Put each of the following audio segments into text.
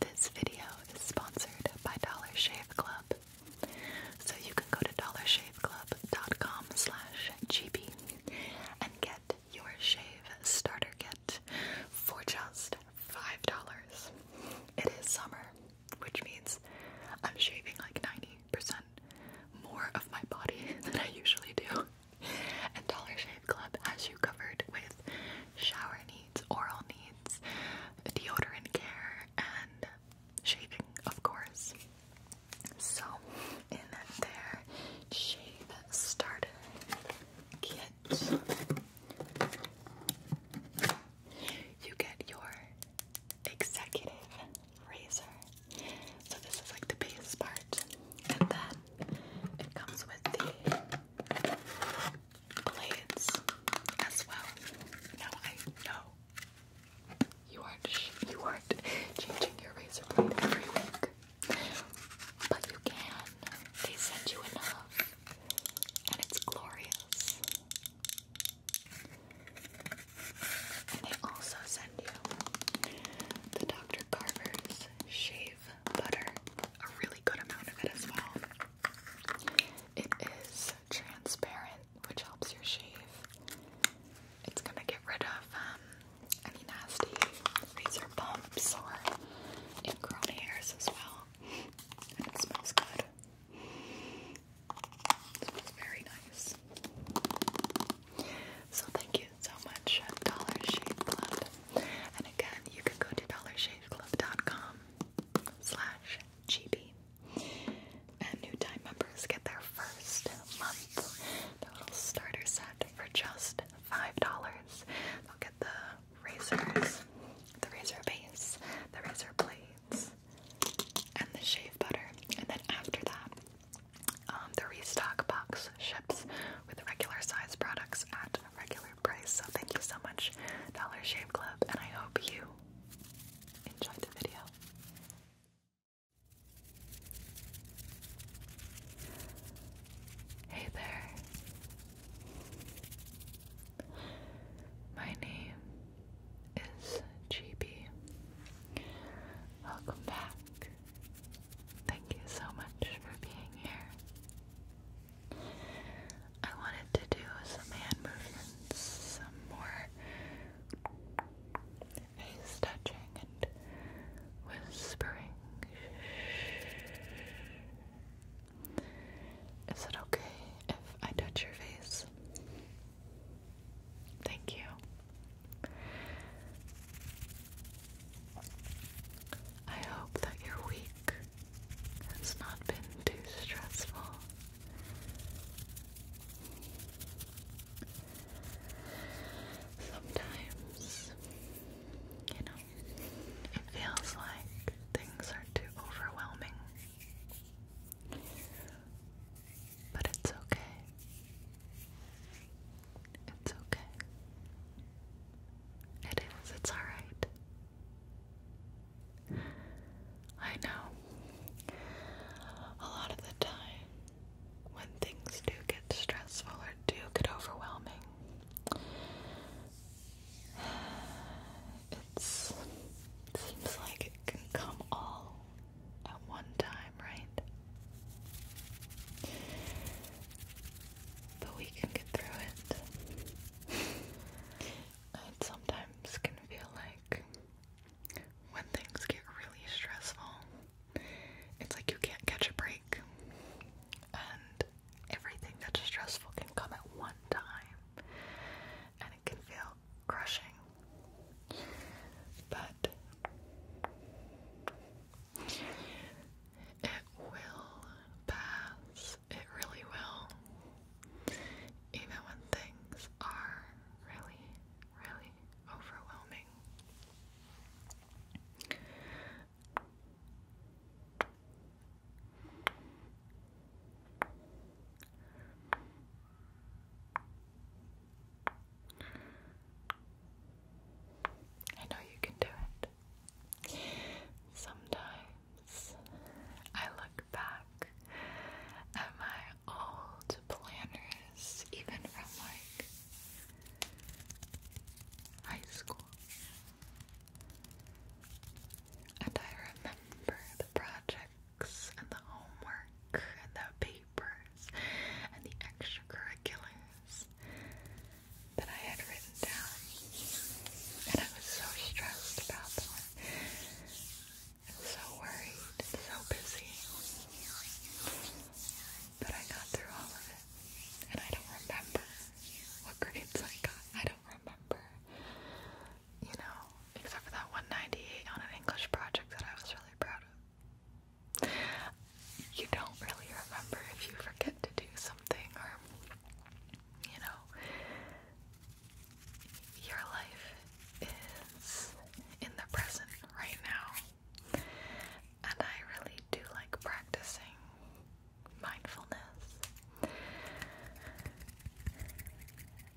This video is sponsored by Dollar Shave Club. So you can go to dollarShaveClub.com slash GB and get your shave starter kit for just five dollars. It is summer, which means I'm shaving like 90% more of my body than I usually do. And Dollar Shave Club has you covered with shower needs, oral needs, deodorant care, and shaving, of course. So, in there, shave starter kit, you get your executive razor. So, this is like the base part, and then it comes with the blades as well. No, I know you aren't you aren't changing your razor blade every week, but you can. They sent you enough, and it's glorious. And they also send you the Dr. Carver's shave butter a really good amount of it as well. It is transparent, which helps your shave. It's gonna get rid of um, any nasty razor bumps or ingrown hairs as well. And it smells good. It very nice. So thank you so much, Dollar Shave Club. And again, you can go to dollarshaveclub.com slash GB. And new time members get their first month, the little starter set for just $5. They'll get the razors, the razor base, the razor blades, and the shave butter. And then after that, um, the restock box ships with regular size products at regular price. So thank you so much, Dollar Shave Club, and I hope you enjoyed the video. Hey there. My name is GB. Welcome back Thank you so much for being here. I wanted to do some hand movements, some more face touching and whispering. Is it okay if I touch your face? Thank you. I hope that your week has not been too stressful. Sometimes, you know, it feels like things are too overwhelming. But it's okay. It's okay. It is, it's alright. I know. A lot of the time, when things do get stressful or do get overwhelming, it seems like it can come all at one time, right? but we can get through it. it sometimes can feel like when things get really stressful, it's like you can't catch a break, and everything that's stressful can come at one time, and it can feel crushing. But it will pass. It really will. Even when things are really, really overwhelming. I know you can do it. Sometimes I look back at my old planners, even from like high school. And I remember the projects and the homework and the papers and the extracurriculars that I had written down, and I was so stressed about them, and so worried, and so busy, but I got through all of it, and I don't remember what grades I got, I don't remember, you know, except for that 198 on an English project that I was really proud of you don't really remember if you forget to do something or you know your life is in the present right now and I really do like practicing mindfulness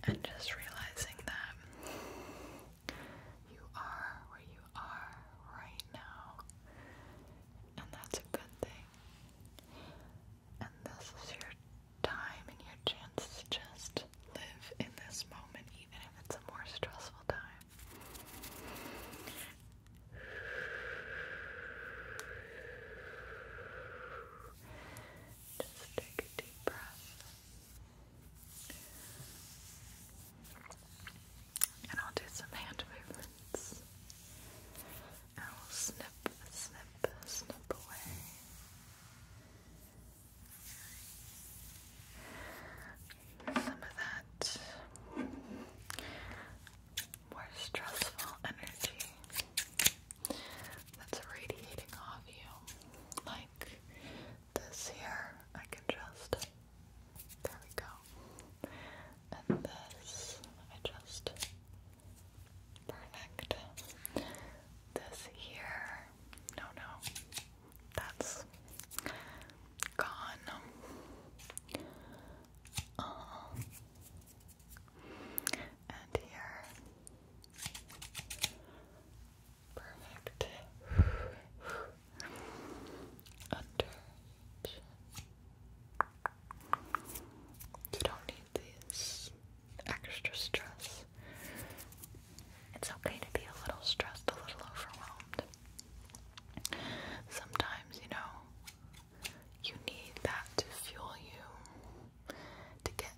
and just realizing that you are where you are right now and that's a good thing. And this is your time and your chance to just live in this moment, even if it's a more stressful time. Just take a deep breath and I'll do some hand movements. And I'll snip, snip, snip away. Some of that more stressful energy that's radiating off you, like this here. I can just, there we go now. And this, I just perfect. This here, no, no, that's gone. Um, and here, perfect. You don't need this extra stress. It's okay to be a little stressed, a little overwhelmed. Sometimes, you know, you need that to fuel you to get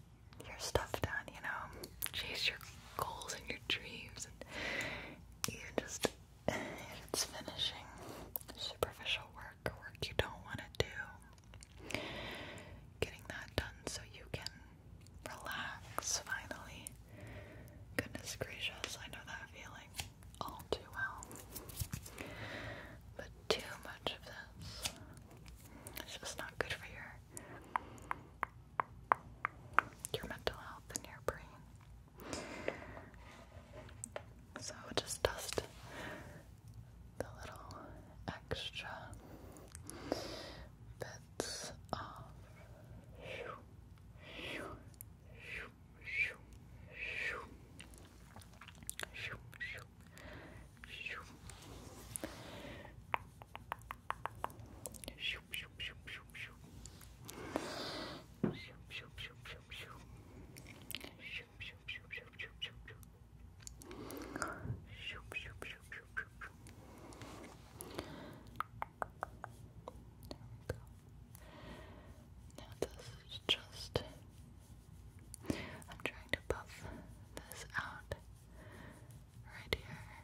your stuff done, you know, chase your goals and your dreams, and you just it's finishing superficial work, work you don't want to do, getting that done so you can relax finally. Goodness gracious, I know that feeling all too well. But too much of this is just not good for your your mental health and your brain. So just dust the little extra bits off. Now this is just I'm trying to puff this out right here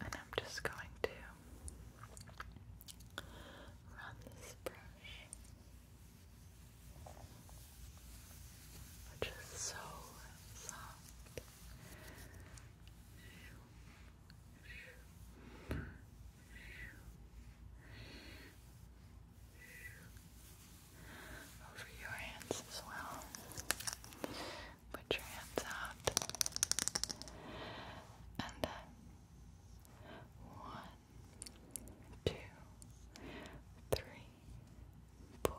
And I'm just going to run this brush, which is so soft. Over your hands as well. Put your hands out. And one, two, three, four,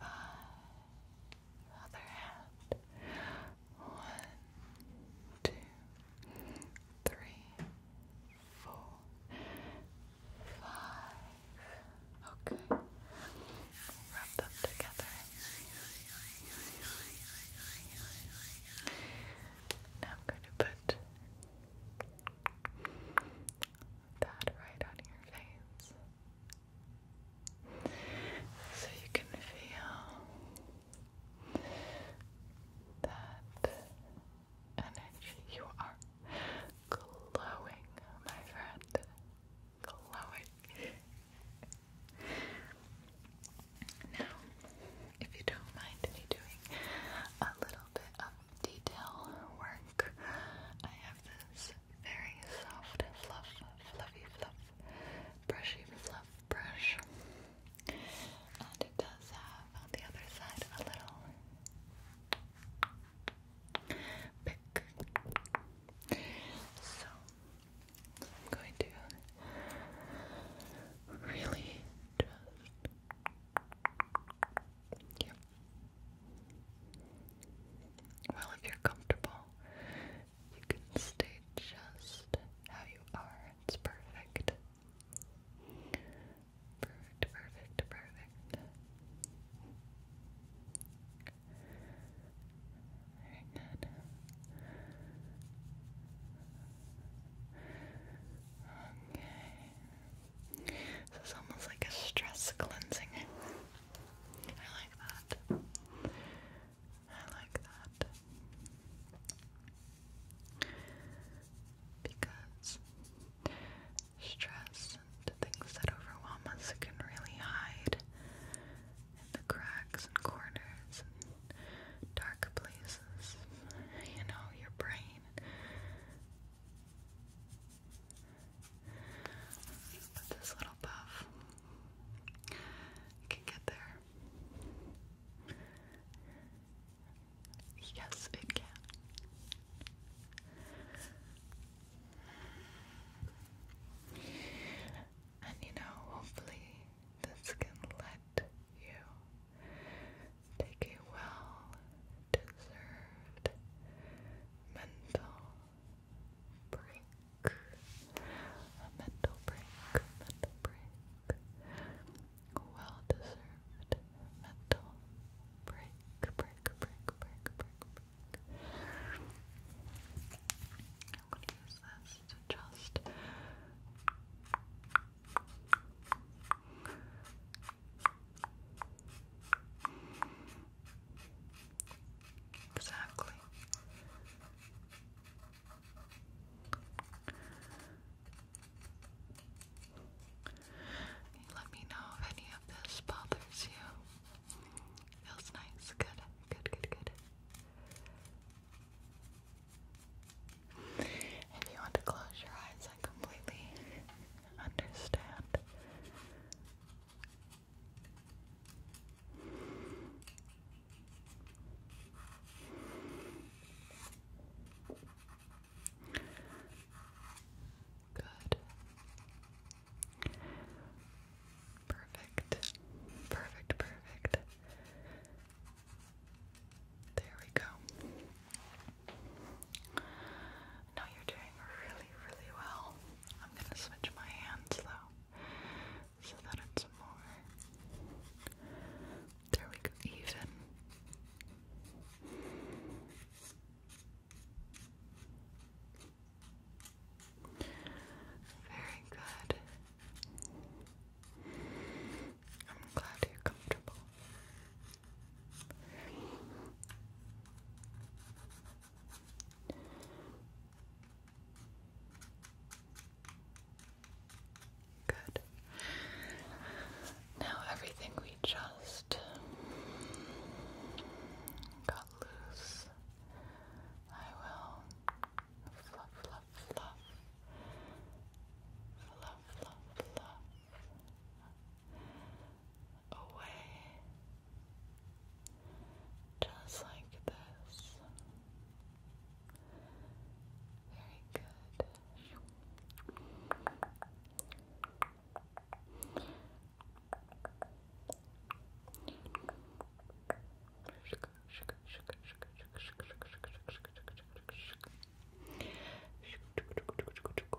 five other hand. One, two, three, four, five. Okay. Rub them together. Now I'm going to put that right on your face. So you can feel that energy. You are glowing, my friend. Glowing. now, if you don't mind me doing a little bit of detail work, I have this very soft fluff, fluffy fluff, brushy fluff brush. And it does have on the other side a little pick. So I'm going to really just. Yep. Well, if you're comfortable, you can stay just how you are. It's perfect. Perfect, perfect, perfect. Very good. Okay. This is almost like a stress cleansing. I like that. I like that. Because stress and things that overwhelm us can really hide in the cracks and corners dark places. You know, your brain but this little puff can get there. Yes, it can. And you know, hopefully, this can let you take a well deserved mental brick, a mental break, mental break, well deserved mental break, break, break, break, break, I'm going to use this to just. Exactly. Let me know if any of this bothers you. Feels nice. Good. Good, good, good. If you want to close your eyes, I completely understand. Good. Perfect. Perfect, perfect. There we go. No, you're doing really, really well. I'm gonna switch my hands though, so that it's more. There we go, even. Very good. I'm glad you're comfortable. Good. Now everything we just got loose. I will fluff, fluff, fluff. Fluff, fluff, fluff. Away. Just like this. Very good.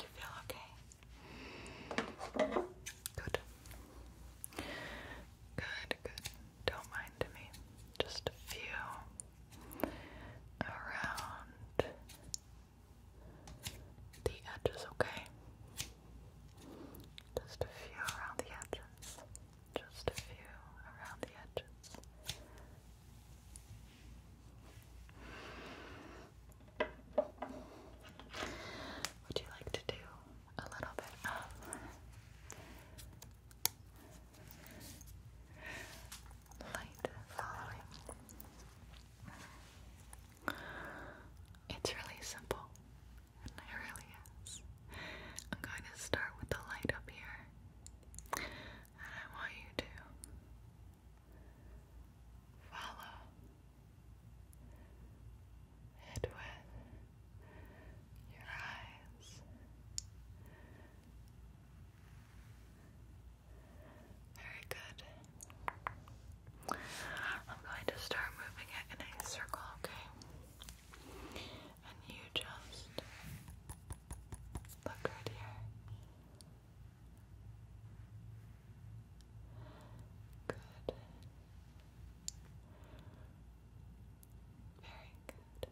You feel okay? Good. Good, good. Don't mind me. Just a few around the edges, okay? Just a few around the edges. Just a few around the edges. Would you like to do a little bit of light following? It's really simple, it really is. I'm going to start with the light up here, and I want you to Follow it with your eyes. Very good. I'm going to start moving it in a circle, okay? And you just look right here. Good. Very good.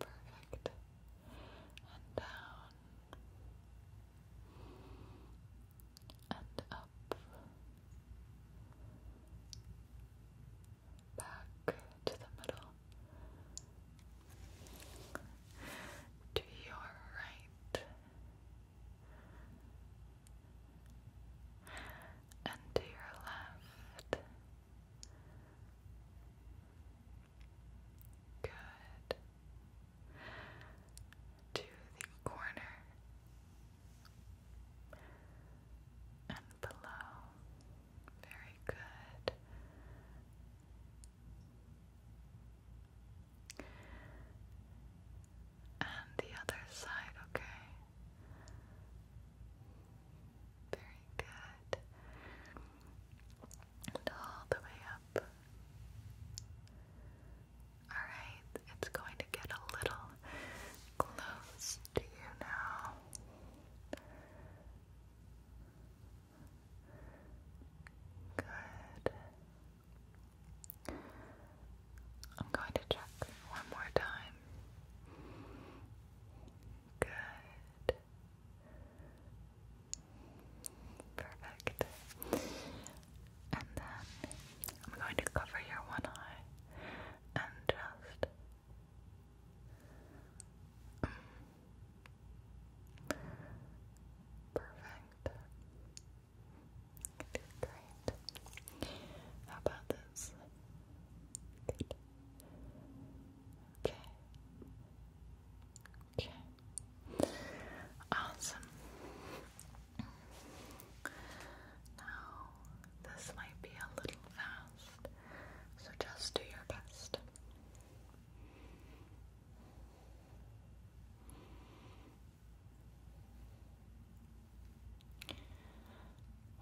Perfect. And down. And up back to the middle. To your right and to your left. Good. To the corner and below. Very good. And the other side, okay. Very good. And all the way up. Alright, it's going to get a little close to you now. Good. I'm going to check one more time. Good. Perfect. And then I'm going to cover your one eye and just Perfect. Good, great. How about this? Okay. Okay. Awesome. Now, this might be a little fast, so just do your best.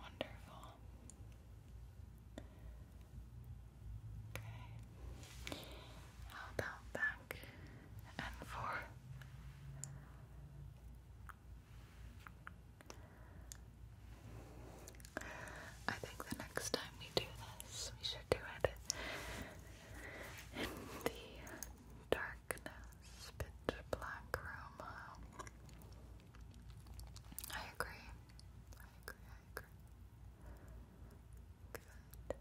Wonderful. Okay. How about back and forth? I think the next time we do this, we should do it in the darkness, pitch black room. I agree. I agree, I agree. Good.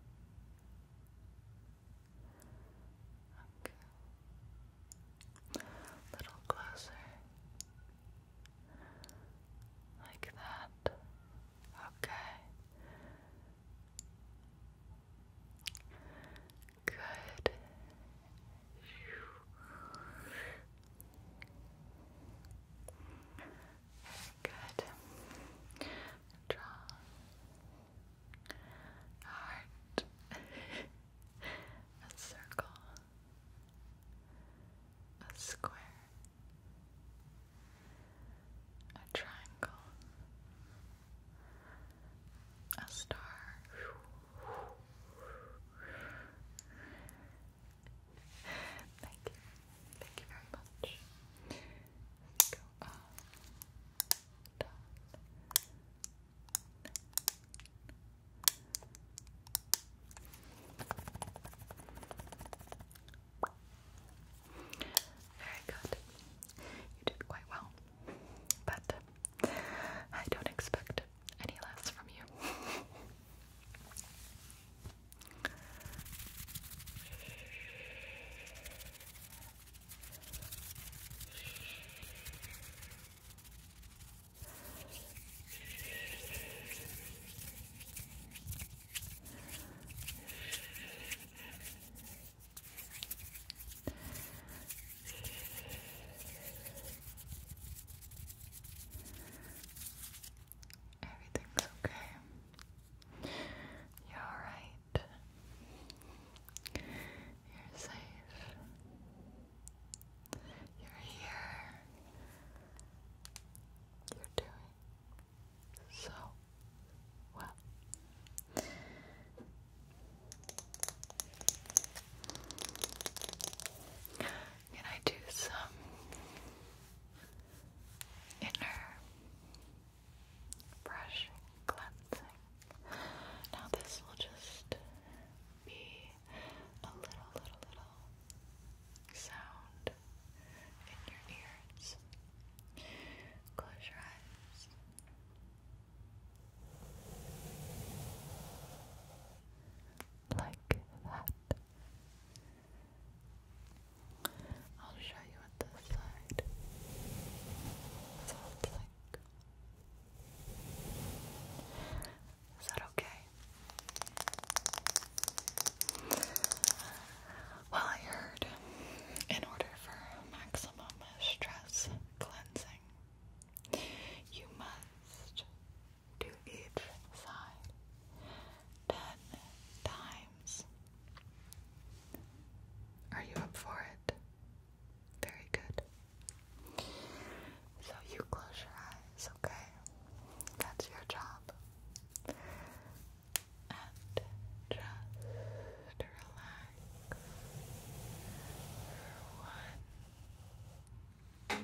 Okay. A little closer. Like that. Okay. Good. Good. Draw heart, a circle, a square, a triangle, a star. Thank you. Thank you very much. Go up, down, very good. You did quite well. But I don't expect any less from you. Everything's okay. You're alright. You're safe. You're here. You're doing so well. Can I do some inner brushing, cleansing? Now, this will just be a little, little, little sound in your ears. Close your eyes. Like that. I'll show you at this side. Sounds like. Is that okay? Well, I heard in order for maximum stress cleansing, you must do each side ten times. Are you up for it? Very good. So you close your eyes, okay? That's your job. And just relax one, two, three,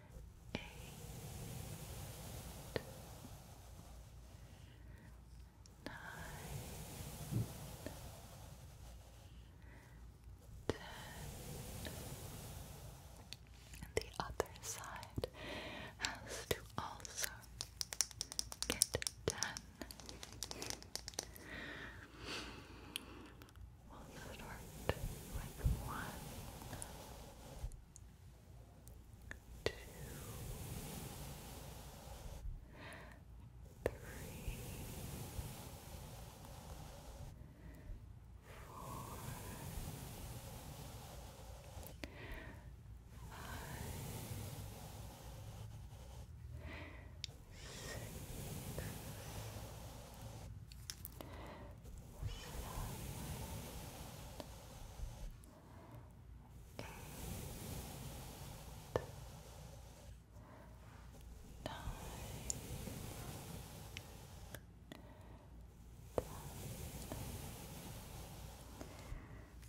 eight, nine, ten. the other side has to also get done. We'll start with one, two, three, four, five, six, Seven,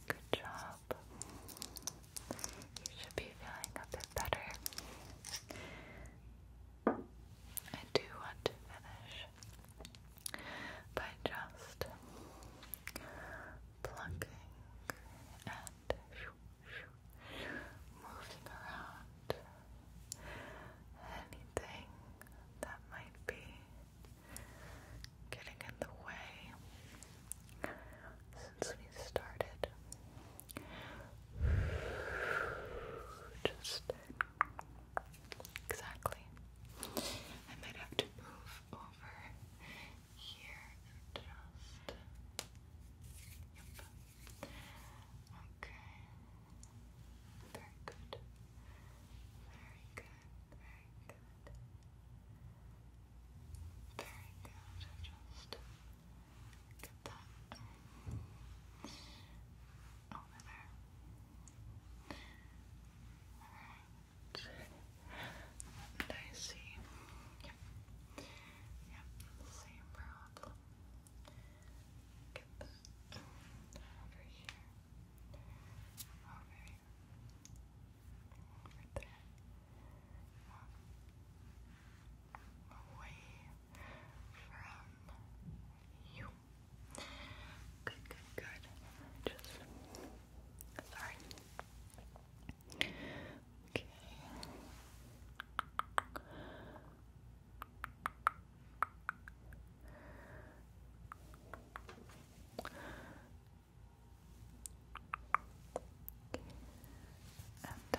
Good job. You should be feeling a bit better. I do want to finish by just plucking and moving around anything that might be getting in the way since we started. Just exactly. I might have to move over here just. Yep. Okay. Very good. Very good. Very good. Very good. Just get that over there. Alright. I see. Yep. Yep, same problem. Get this over here. Over Over there. Away from you. Good, good, good. Just sorry. Okay. And uh,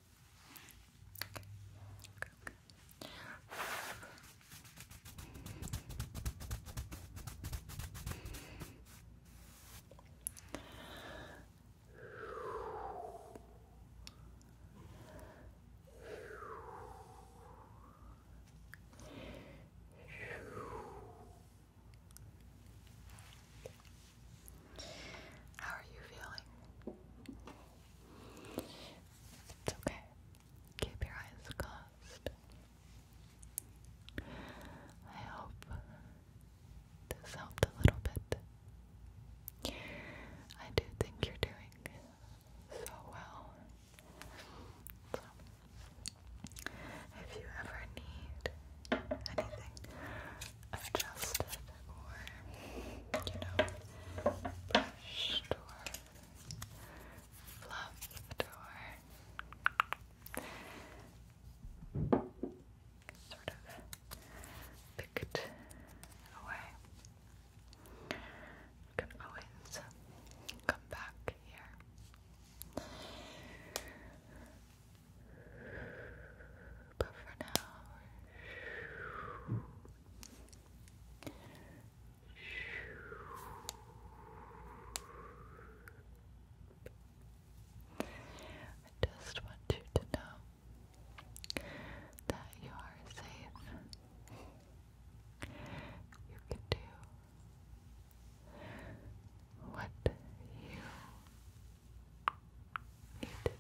Okay, How are you feeling? It's okay. Keep your eyes closed. I hope this helped a little bit. I do think you're doing so well. So, if you ever need anything adjusted or, you know, brushed or fluffed or sort of picked away. can always come back here. But for now, I just want you to know that you are safe. You can do what you need to do.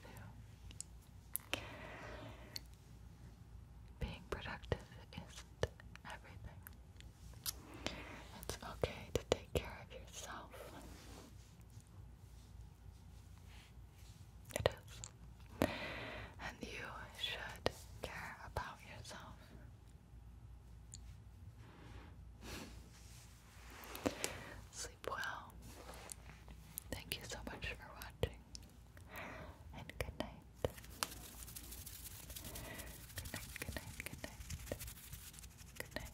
Being productive isn't everything. It's okay to take care of yourself. It is. And you should care about yourself. Sleep well. Thank you so much for watching and good night. Good night, good night, good night. Good night.